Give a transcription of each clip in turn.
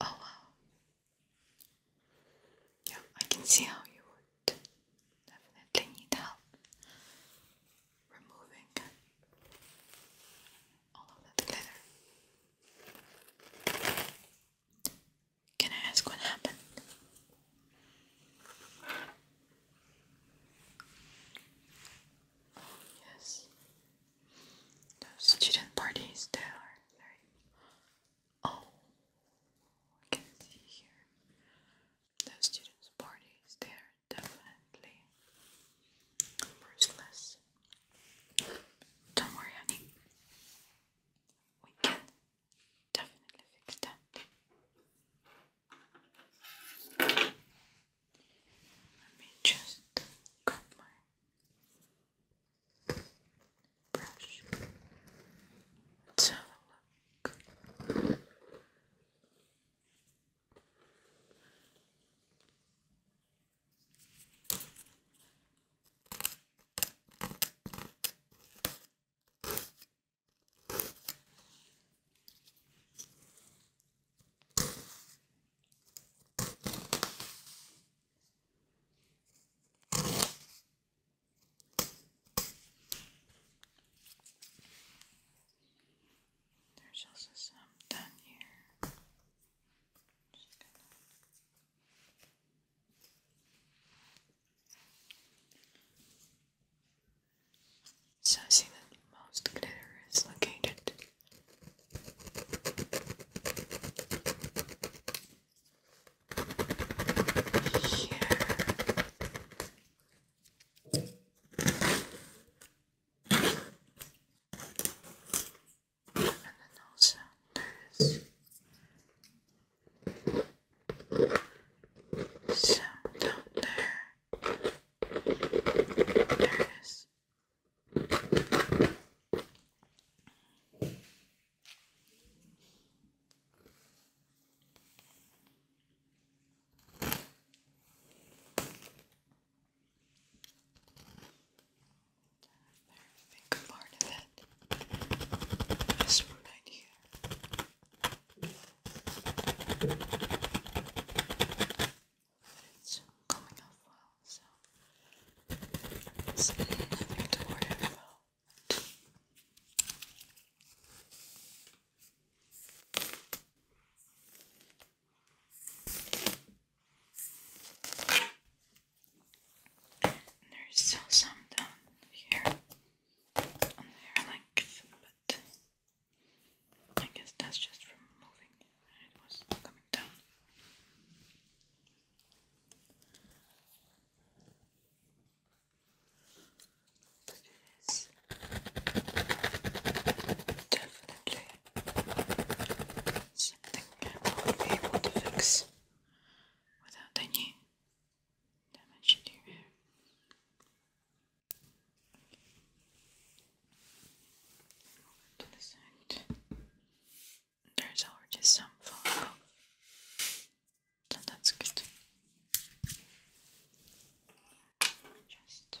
Oh wow. Yeah, I can see how you would definitely need help removing all of that glitter. Can I ask what happened? Oh, yes. Those student parties they are very oh I can see here the students' parties they are definitely ruthless. Don't worry honey. We can definitely fix that. Let me just cut my brush. have a look. There's also some done here. so I that most glitter is located and then also there's some down there. There is big part of it. This one right here it's coming off well, so it's nothing to worry about. And there's still some down here on the hair length, but I guess that's just from moving it was coming down. But definitely something I won't be able to fix without any damage to there's already some fungal. that's good. Just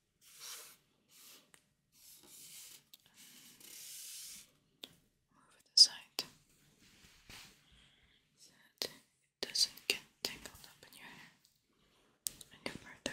Move it aside so that it doesn't get tangled up in your hair any further.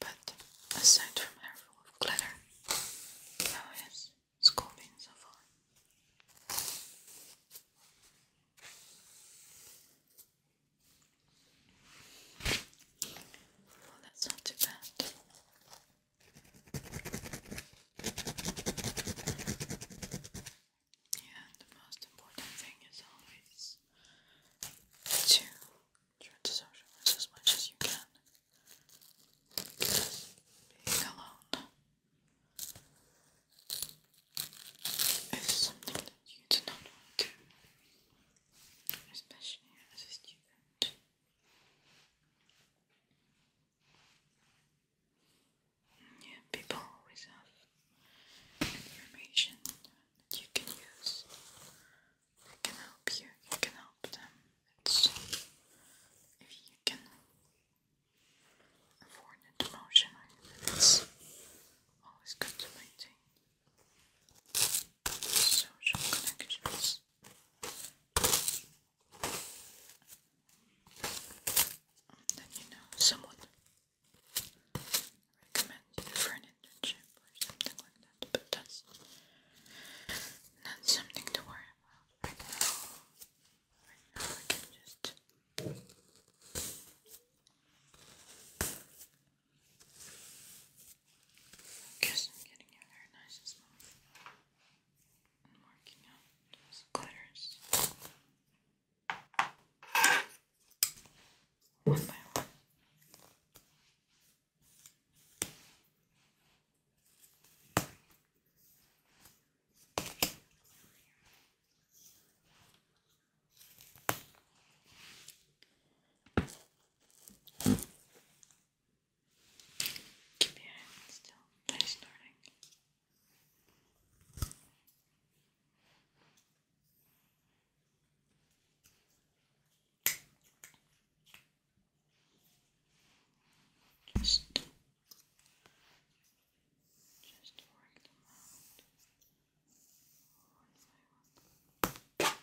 But aside from her full of glitter, how has school been so far? Well, that's not too bad. Yeah, the most important thing is always to try to socialize as much as you can. being alone is something that you do not want to, especially as a student. Yeah, people always have information that you can use. It can help you, you can help them. It's if you can afford it emotionally, it's always good to maintain social connections. Then you know someone recommend for an internship or something like that. But that's not something to worry about right now. Right now I can just because i getting your hair nice and smooth. And marking out glitters. One by one. Keep your head still. Play snorting. Just, just work them out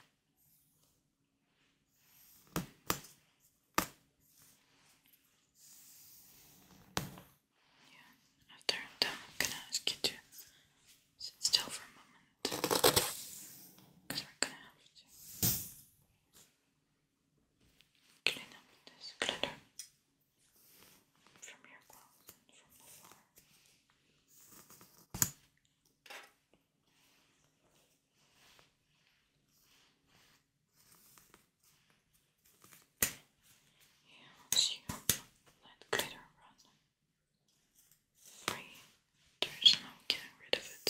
after I'm I'm gonna ask you to sit still for a moment. Because we're gonna have to clean up this glitter from your glove and from the floor. Yeah, let you glitter run free. There's no getting rid of it.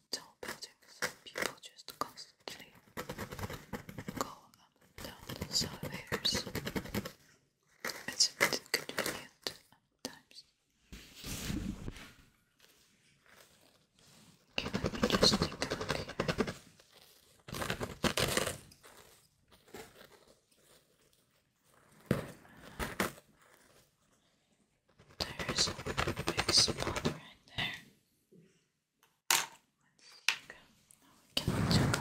tall buildings people just constantly go down the stairs. It's a bit inconvenient at times. Okay, let me just take a look here. There's a big spot right there. Let's go. Now we can check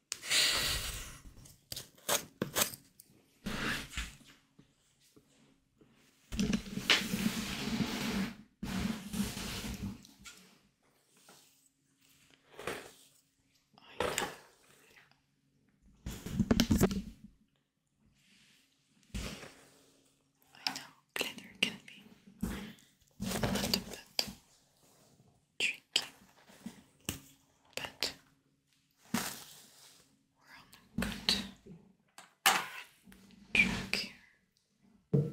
I know glitter can be a little bit tricky, but we're on a good track here.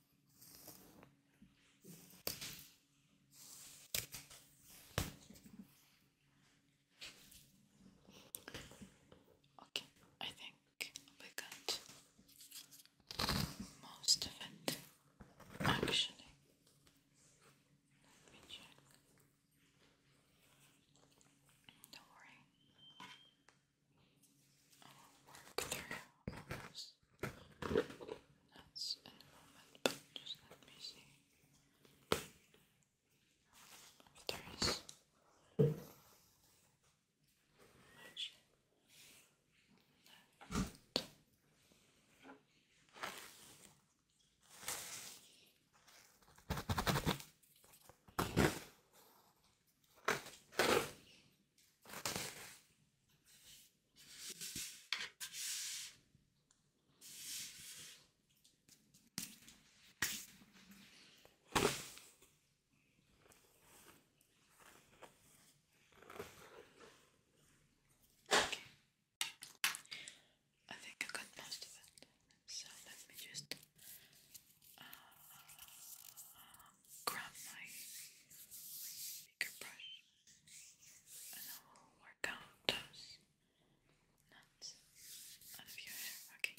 Okay, I think we got most of it actually. Let me check. Don't worry nuts in a moment, just let me see if there is I think I got most of it, so let me just uh, grab my bigger brush and I will work out those nuts out of your hair, Okay.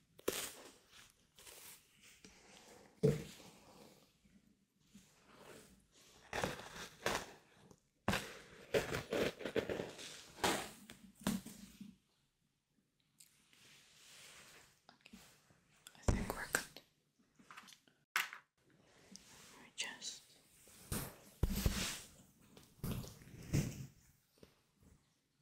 I think we're good. We just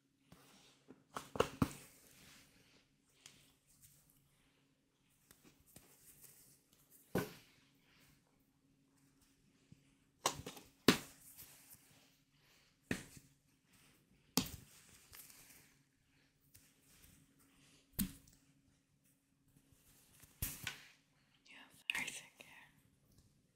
You have everything here.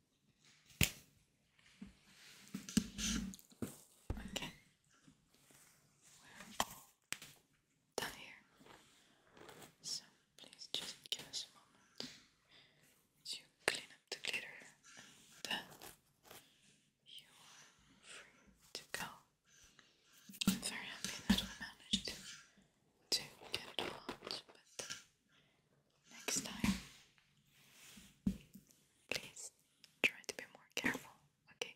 Okay. We're all done here. So please just give us a moment to clean up the glitter and then you are free to go. I'm very happy that we managed to get all out, but Next time, please try to be more careful, okay?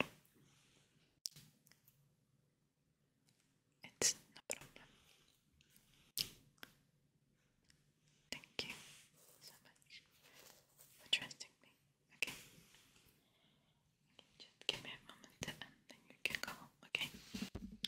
It's no problem. Thank you so much for trusting me, okay? give me a moment and then you can go okay?